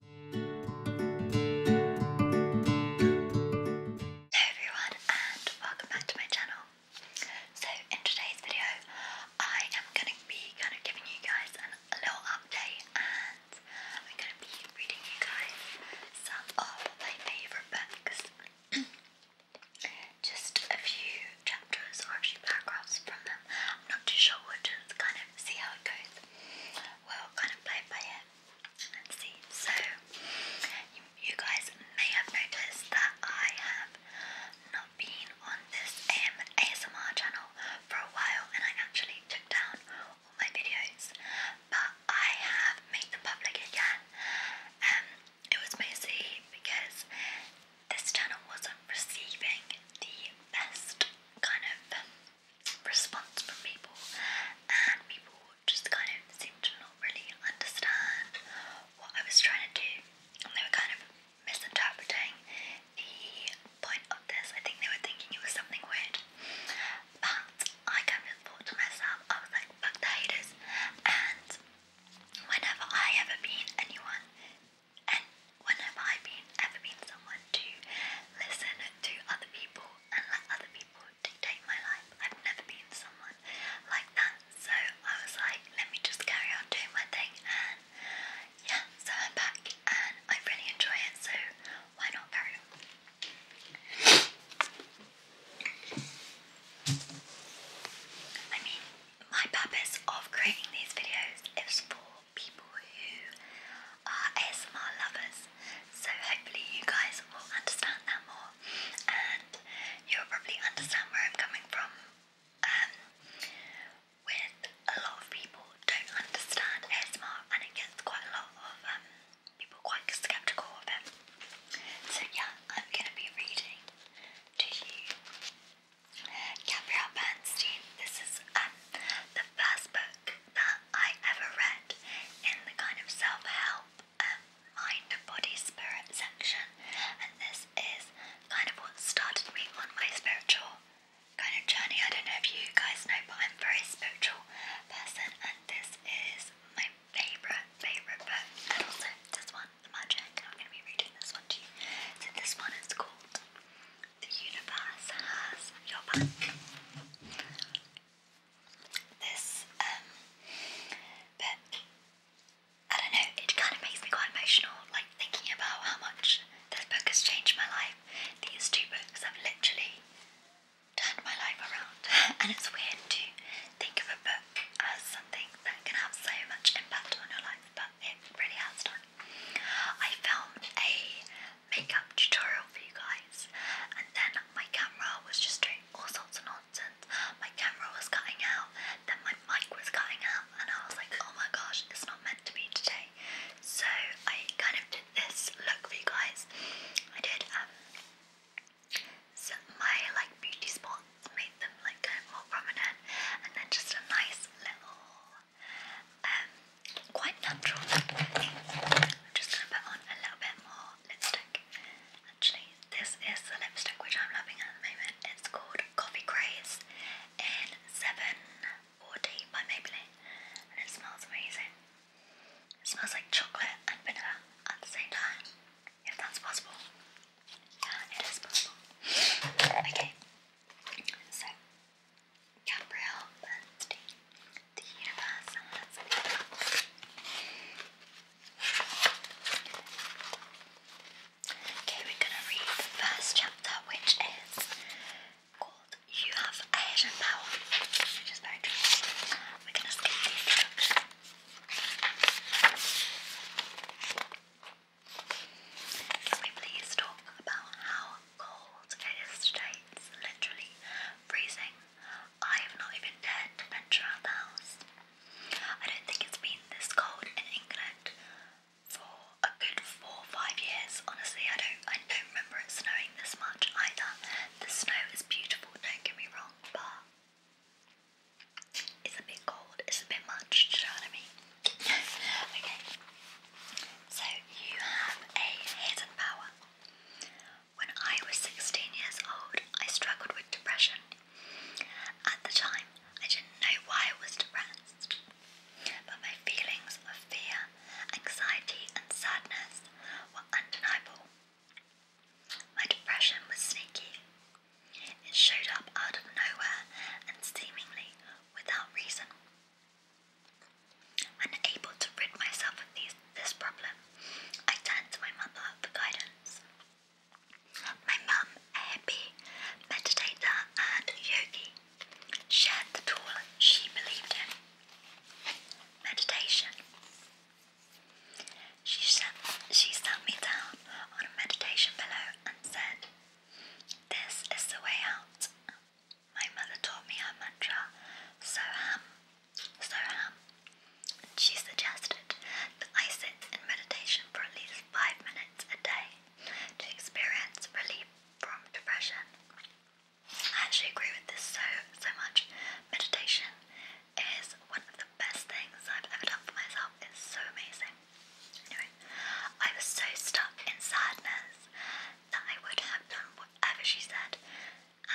Hello everyone and welcome back to my channel. So in today's video I am going to be kind of giving you guys a little update and I'm going to be reading you guys some of my favourite books. Just a few chapters or a few paragraphs from them. I'm not too sure which kind of see how it goes we kind of play it by ear see. So, you, guys may have noticed that I have not been on this um, ASMR channel for a while and I actually took down all my videos, but I have made them public again. Um, it was mostly because this channel wasn't receiving the best kind of response from people, and people just kind of seemed to not really understand what I was trying to do, and they were kind of misinterpreting the point of this. I think they were thinking it was something weird, but I kind of thought to myself, I was like, fuck the haters, and whenever I ever been anyone, and whenever I've been ever been someone, to listen to other people and let other people dictate my life. I've never been someone like that, so I was like, let me just carry on doing my thing, and yeah, so I'm back and I really enjoy it, so why not carry I mean, my purpose of creating these videos is for people who are ASMR lovers. So hopefully you guys will understand that more, and you'll probably understand where I'm coming from. Um, with a lot of people don't understand ASMR, and it gets quite a lot of um, people quite skeptical of it. So yeah, I'm gonna be reading to you. Gabrielle Bernstein, this is um, the first book that I ever read in the kind of self help um, mind, body, spirit section, and this is kind of what started me on my spiritual kind of journey. I don't know if you guys know, but I'm a very spiritual person, and this is my favourite, favourite book. And also, this one, The Magic. I'm going to be reading this one to you. So, this one is called the universe has your back. This um I don't know, it kind of makes me quite emotional, like thinking about how much this book has changed my life. These two books have literally turned my life around, and it's weird to think of a book as something that can have so much impact on your life, but it really has done. I filmed a makeup tutorial for you guys, and then my camera was just doing all sorts of nonsense. My camera was cutting out, then my mic was cutting out, and I was like, oh my gosh, it's not meant to be today. So I kind of did this look for you guys. I did um so my like beauty spots, made them like kind of more prominent, and then just a nice little um, quite natural I'm just going to put on a little bit more lipstick. Actually, this is the lipstick which I'm loving at the moment. It's called Coffee Craze in 740 by Maybelline, and it smells amazing. It smells like chocolate and vanilla at the same time, if that's possible. Yeah, it is possible. Okay, so Okay, we're going to read the first chapter, which is called You Have a Power, We're going to skip the introduction. Can we please talk about how cold it is today. literally freezing. I have not even dared to venture out the house. I don't think it's been this cold in England for a good four five years. Honestly, I don't I don't remember it snowing this much either. The snow is beautiful, don't get me wrong, but it's a bit cold, it's a bit much, do you know what I mean? okay. So you have a hidden power. When I was 16 years old, I struggled with depression. At the time, I didn't know why I was depressed, but my feelings of fear, anxiety, and sadness were undeniable. My depression was sneaky. It showed up out of nowhere and seemingly without reason. Unable to rid myself of these, this problem, I turned to my mother for guidance. My mum, a happy meditator, and yogi, shared the tool she believed in meditation. She sat, she sat me down on a meditation pillow and said, This is the way out. My mother taught me her mantra, Soham, so and she suggested that I sit in meditation for at least five minutes a day to experience relief from depression. I actually agree with this so, so much. Meditation is one of the best things I've ever done for myself. It's so amazing. Anyway, I was so stuck in sadness that I would have done whatever she said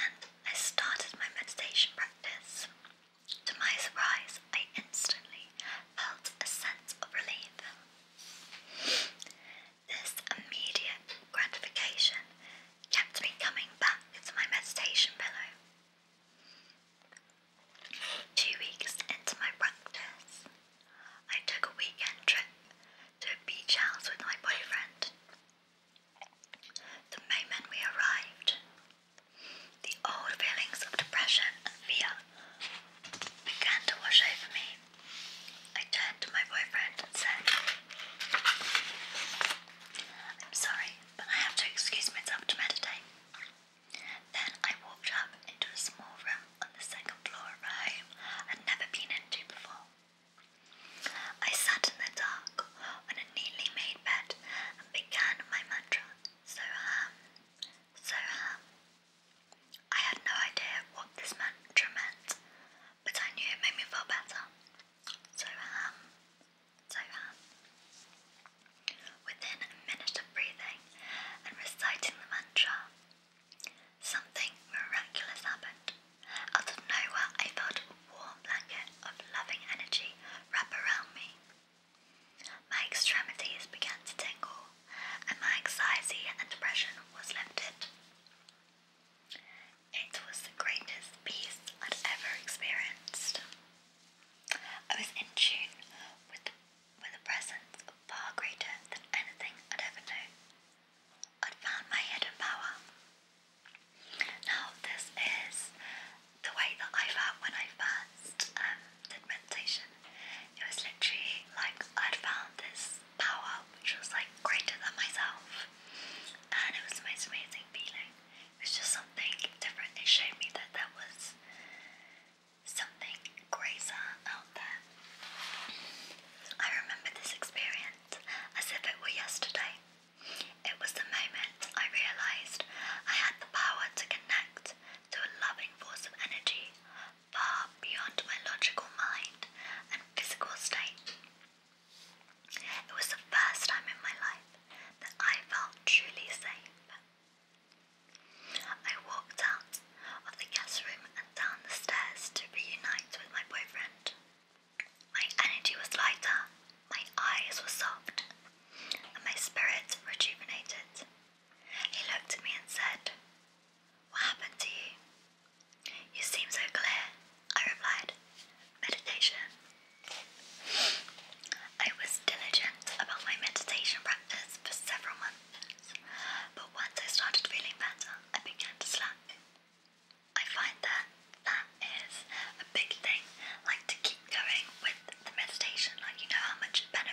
and I started my meditation practice. To my surprise, I instantly felt a sense of relief. This immediate gratification kept me coming back to my meditation pillow. Two weeks into my practice, I took a weekend trip to a beach house with my boyfriend. The moment we arrived, the old feelings of depression and fear began to wash over me. I turned to my boyfriend and said, I'm sorry, but I have to excuse myself to meditate. Then I walked up into a small room on the second floor of home I'd never been into before. I sat in the dark on a neatly made bed and began my mantra, Soham, Soham. I had no idea what this mantra meant, but I knew it made me feel better. Soham, Soham. Within a minute of breathing and reciting the mantra, something miraculous happened. Out of nowhere, a warm blanket of loving energy wrap around me. My extremities began to tingle, and my anxiety and depression was lifted. It was the greatest peace I'd ever experienced. I was in tune with the, with a presence far greater than anything I'd ever known i found my hidden power. Now, this is the way that I felt when I first um, did meditation. It was literally like I'd found this power which was like greater than myself, and it was the most amazing feeling. It was just something different. It showed me that there was something greater out there. I remember this experience as if it were yesterday. It was the moment I realized I had the power to connect to a loving force of energy far beyond my logical mind and physical state. It was the first time in my life that I felt truly safe. I walked out of the guest room and down the stairs to reunite with my boyfriend. My energy was lighter, my eyes were soft, and my spirit rejuvenated. He looked at me and said, What happened to you? You seem so clear, I replied. Meditation. I was diligent about my meditation practice for several months, but once I started feeling better, I began to slack. I find that that is a big thing, like to keep going with the meditation, like you know how much it but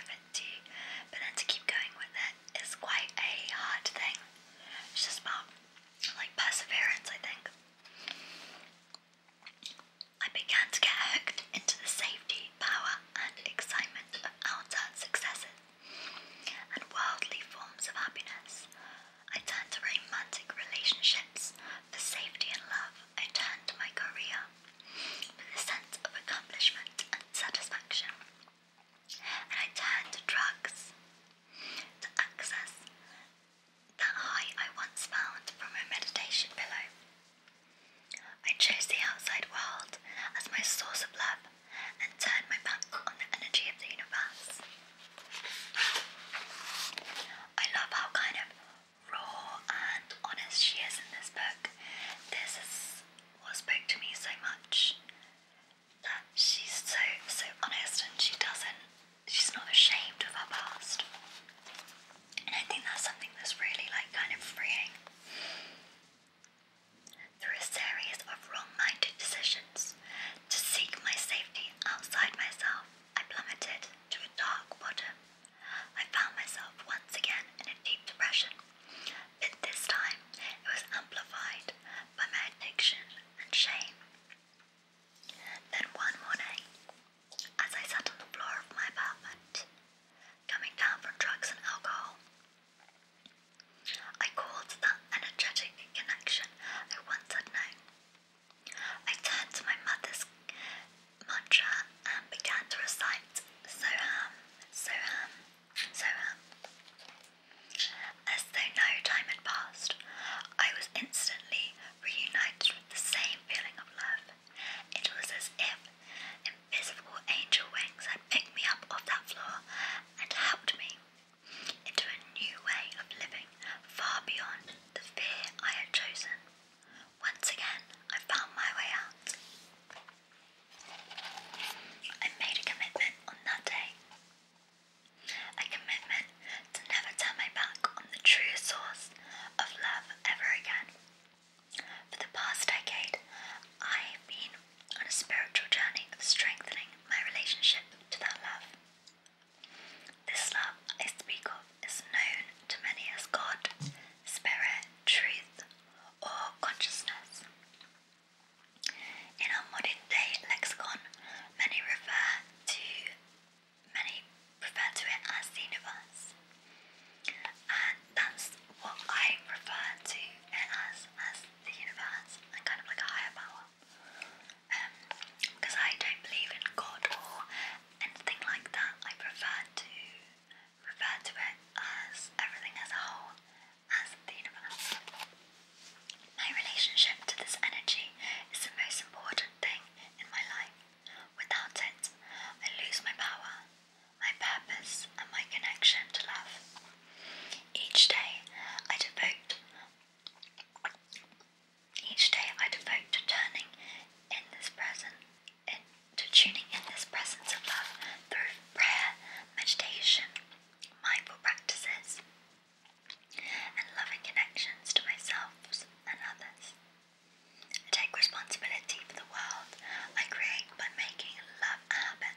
then to keep going with it is quite a hard thing. just about like perseverance, I think. I began to get hooked into the safety, power, and excitement of outer successes and worldly forms of happiness. I turned to romantic relationships for safety and love. I turned to my career for the sense of accomplishment and satisfaction. And I turned to drugs to access that high I once found from my meditation pillow. I chose the outside world as my source of love and turned my back on the energy of the universe. I love how kind of raw and honest she is in this book. This is what spoke to me so much that she's so so honest and she doesn't she's not ashamed of her past. And I think that's something that's really like kind of freeing. Through a series of wrong-minded decisions, to seek my safety outside myself, I plummeted to a dark bottom. I found myself once again in a deep depression, but this time it was amplified by my addiction and shame. Then one morning, as I sat on the floor of my apartment, coming down from drugs and alcohol, I called that energetic connection I once had known I turned to my mother's mantra and began to recite Soham, Soham, Soham. As though no time had passed, I was instantly reunited with the same feeling of love. It was as if invisible angel wings had picked me up off that floor and helped me into a new way of living far beyond the fear I had chosen. Once again, I found my way out. I made a commitment on that day. A commitment to never turn my back on the true source of love ever again. For the past decade, I have been on a spiritual journey of strengthening my relationship to that love. This love I speak of is known to many as God, Spirit, Truth, or Consciousness. In our modern day lexicon, many refer to many refer to it as the universe. And that's what I refer to it as as the universe and kind of like a higher power because um, I don't believe in God or anything like that. I prefer to refer to it as everything as a whole, as the universe. My relationship to this energy is the most important thing in my life. Without it, I lose my power, my purpose, and my connection to love. Each day, I devote each day I devote to turning in this present, to tuning in this presence of love through prayer, meditation, mindful practices, and loving connections to myself and others. I take responsibility for the world I create by making love happen,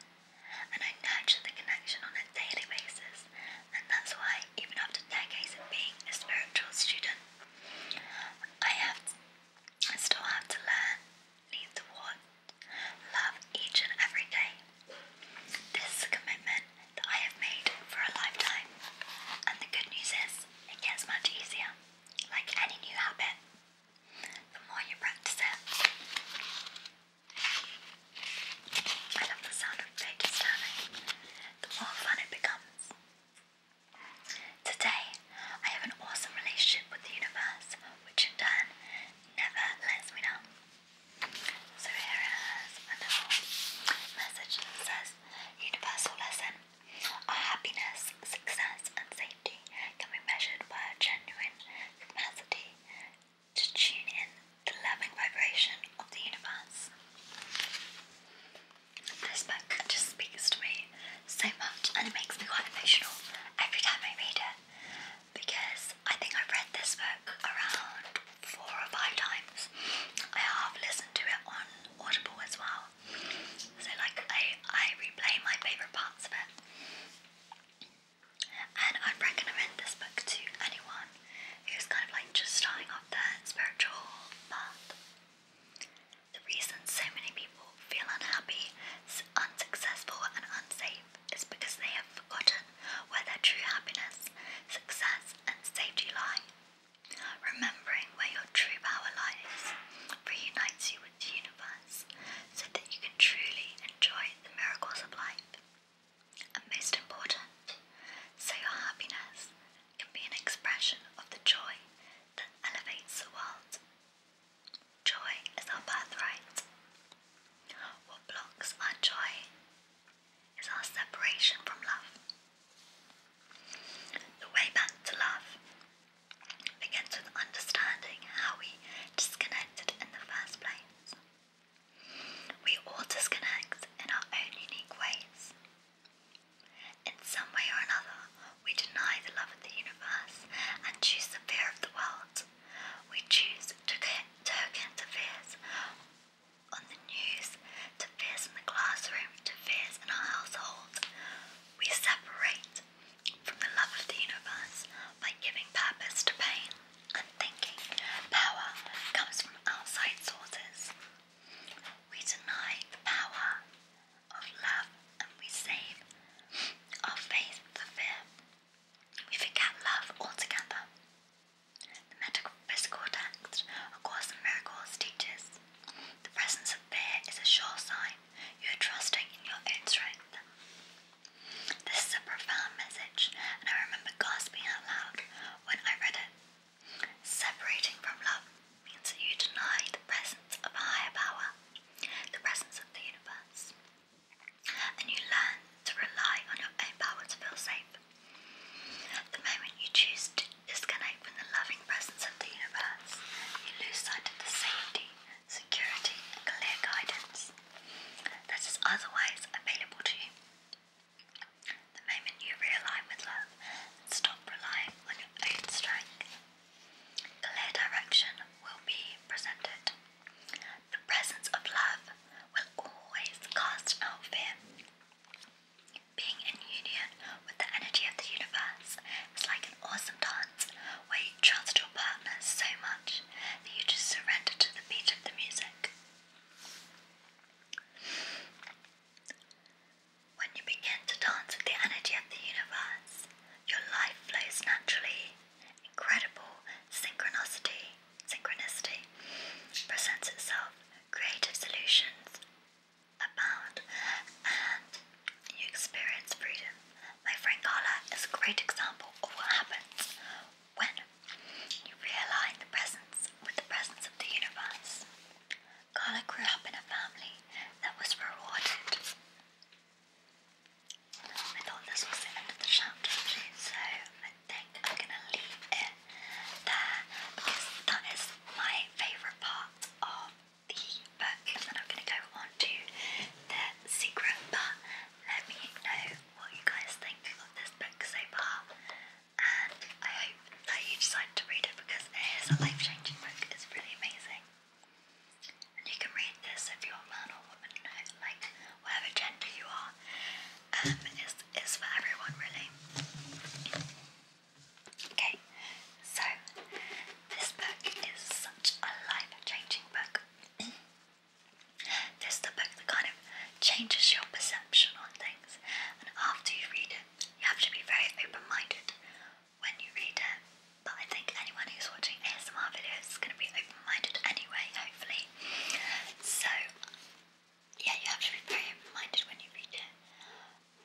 and I nurture the connection on a daily basis and that's why, even after decades of being a spiritual student, I have, I still have to learn, need love each and every day. This is a commitment that I have made for a lifetime, and the good news is, it gets much easier, like any new habit. The more you practice it. I love the sound of pages turning, the more fun it becomes. Today, I have an awesome relationship with the universe, which in turn never lets me down. So here is a message that says, Universal lesson, our happiness, success and safety can be measured by genuine capacity to tune in the loving vibration of the universe. This book just speaks to me so much and it makes me quite emotional every time I read it because I think I've read this book around four or five times. I have listened to it on Audible as well. So like I, I replay my favourite parts of it. And I'd recommend this book to anyone who's kind of like just starting the spiritual path. The reason so many people feel unhappy, unsuccessful, and unsafe is because they have forgotten where their true happiness, success, and safety lie. Remembering where your true power lies reunites you with the universe so that you can truly enjoy the miracles of life. And most important, so your happiness can be an expression of the joy that elevates the world. Joy is our birthright. What blocks our joy is our separation from love. The way back to love begins with understanding how we disconnected in the first place. We all disconnect in our own unique ways. In some way or another, we deny the love of the universe and choose the fear of the world. We choose to token to fears on the news, to fears in the classroom, to fears in our household. We separate from the love of the universe by giving purpose to pain i thinking power comes from outside sources. We deny power of love and we save our faith for fear. We forget love altogether. The metaphysical text, A Course in Miracles, teaches the presence of fear is a sure sign you are trusting in your own strength. This is a profound message, and I remember gasping out loud when I read it. Separating from love means that you deny the presence of a higher power, the presence of the universe, and you learn to rely on your own power to feel safe. The moment you choose to disconnect from the loving presence of the universe, you lose sight of the safety, security, and clear guidance that is otherwise available to you. The moment you realign with love and stop relying on your own strength, clear direction will be presented. The presence of love will always cast out fear. Being in union with the energy of the universe is like an awesome dance where you trust your partner so much that you just surrender to the beat of the music. When you begin to dance with the energy of the universe, your life flows naturally. Incredible synchronicity, synchronicity presents itself. Creative solutions abound, and you experience freedom. My friend Carla is a great example of what happens when you realign the presence with the presence of the universe. Carla grew up in a family that was rewarded. I thought this was the end of the chapter, so I think I'm gonna leave it there because that is my favourite part of the book. then I'm gonna go on to the secret, but let me know what you guys think of this book so far and I hope that you decide to read it because it is a life changing book, it's really amazing. And you can read this if you're a man or woman, like whatever gender you are, um, it's, it's for everyone really. Okay, so this book is such a life changing book. this is the book that kind of changes your perception on things. And after you read it, you have to be very open-minded when you read it. But I think anyone who's watching ASMR videos is going to be open-minded anyway, hopefully. So yeah, you have to be very open-minded when you read it.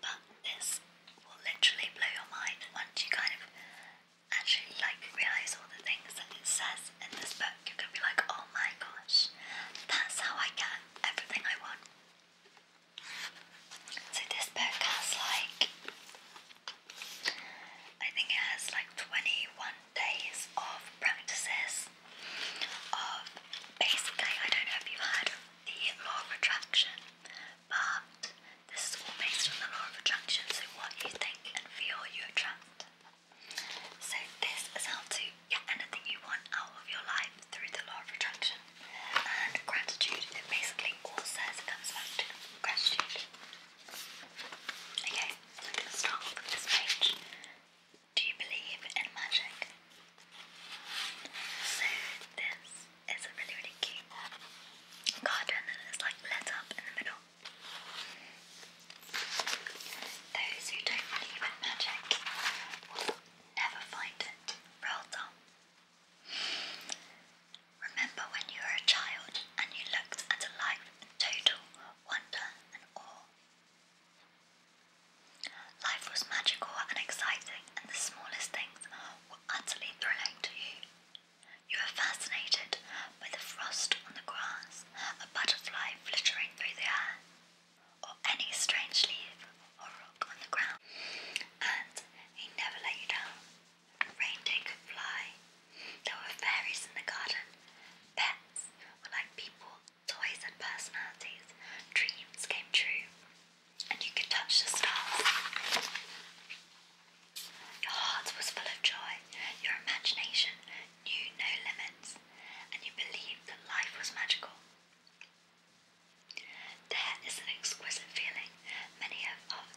But this will literally blow your mind once you kind of actually like realise all the things that it says in this book. You're gonna be like, oh my gosh, that's how I get everything I want. So this book like, I think it has like 21 days of practices of basically, I don't know if you've heard the law of attraction, but this is all based on the law of attraction. So what you think and feel, you attract. So this is how to to anything you want out of your life through the law of attraction. And gratitude, it basically all says it comes back to gratitude. Okay, so I'm start with this page. Do you believe in magic? So this is a really, really cute garden and it's like lit up in the middle. Those who don't believe in magic never find it. Well done. Remember when you were a child and you looked at life in total wonder and awe? Life was magical and exciting, and the smallest things were utterly thrilling to you. You were fascinated by the frost on the grass, a butterfly flittering through the air, or any strange leaf or rock on the ground, and he never let you down. Reindeer could fly. There were fairies in the garden. Pets were like people, toys and personalities. Dreams came true, and you could touch the stars. Your heart was full of joy. Your imagination knew no limits, and you believed that life was magical. That is an exquisite feeling many of, of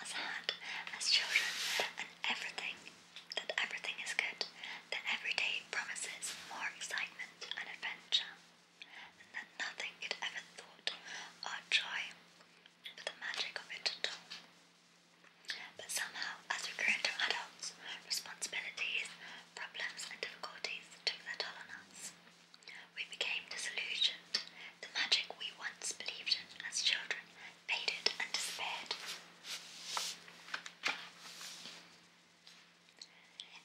us had as children, and everything that everything is good, that every day promises more excitement and adventure, and that nothing could ever thwart our joy but the magic of it at all. But somehow, as we grow into adults, responsibilities, problems and difficulties took their toll on us. We became disillusioned. The magic we once believed in as children faded and disappeared.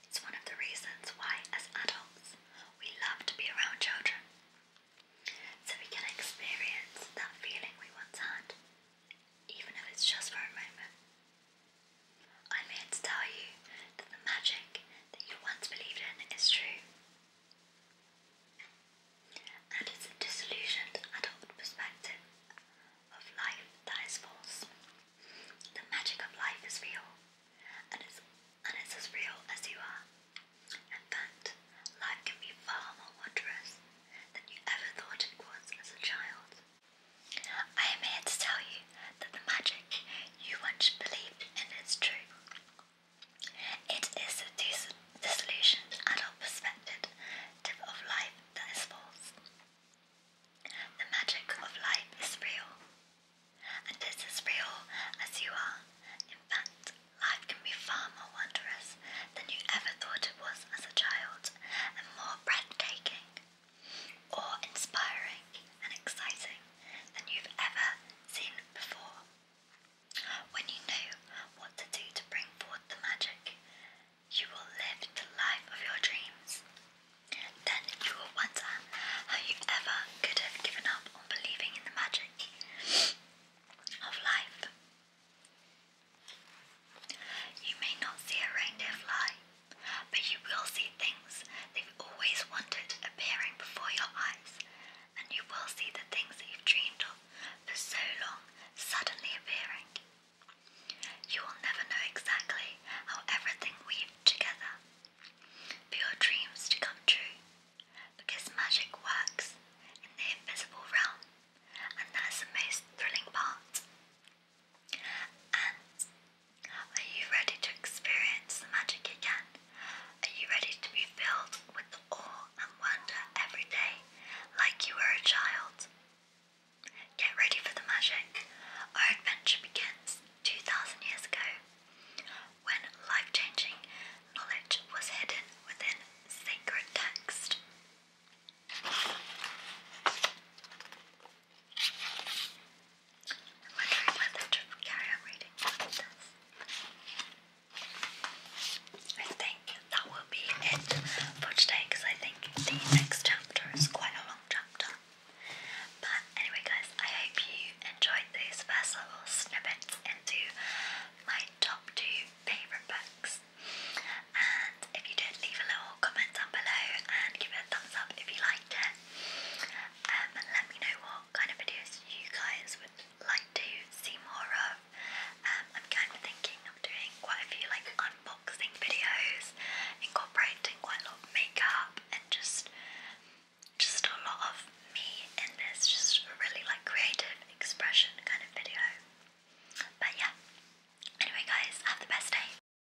It's one of the reasons why, as adults, we love to be around children, so we can experience that feeling we once had, even if it's just for a moment. I'm here to tell you that the magic that you once believed in is true. And it's a disillusioned adult perspective of life that is false. The magic of life is real, and it's, and it's as real as you are. In fact, life can be far more wondrous than you ever thought it was as a child. I am here to tell you that the magic you once believed in is true. It is the dis disillusioned adult perspective of life that is false. The magic of life is real, and it is real as you are. In fact, life can be far more wondrous than you ever thought it was as a child, and more breathtaking awe inspiring, and exciting than you've ever seen before. When you know what to do to bring forth the magic, you will live the life of your dreams. Then you will wonder how you ever could have given up on believing in the magic of life. You may not see a reindeer fly, but you will see things they have always wanted appearing before your eyes, and you will see the things that you've dreamed of for so long suddenly appearing. You will never know exactly how everything weaved together for your dreams to come true, because magic works in the invisible realm, and that's the most thrilling part. And are you ready to experience the magic again? Are you ready to be filled with awe and wonder every day like you were a child? Get ready for the magic. Our adventure begins 2,000 years ago when life changing knowledge was hidden within sacred text i think that will be it for today because I think the next chapter is quite a long chapter. But anyway, guys, I hope you enjoyed these first little snippets into my top two favourite books. And if you did, leave a little comment down below and give it a thumbs up if you liked it. Um, let me know what kind of videos you guys would like to see more of. Um, I'm kind of thinking of doing quite a few like unboxing videos, incorporating quite a lot of makeup and just just a lot of me in this, just really like creative expression kind of video. But yeah. Anyway guys, have the best day.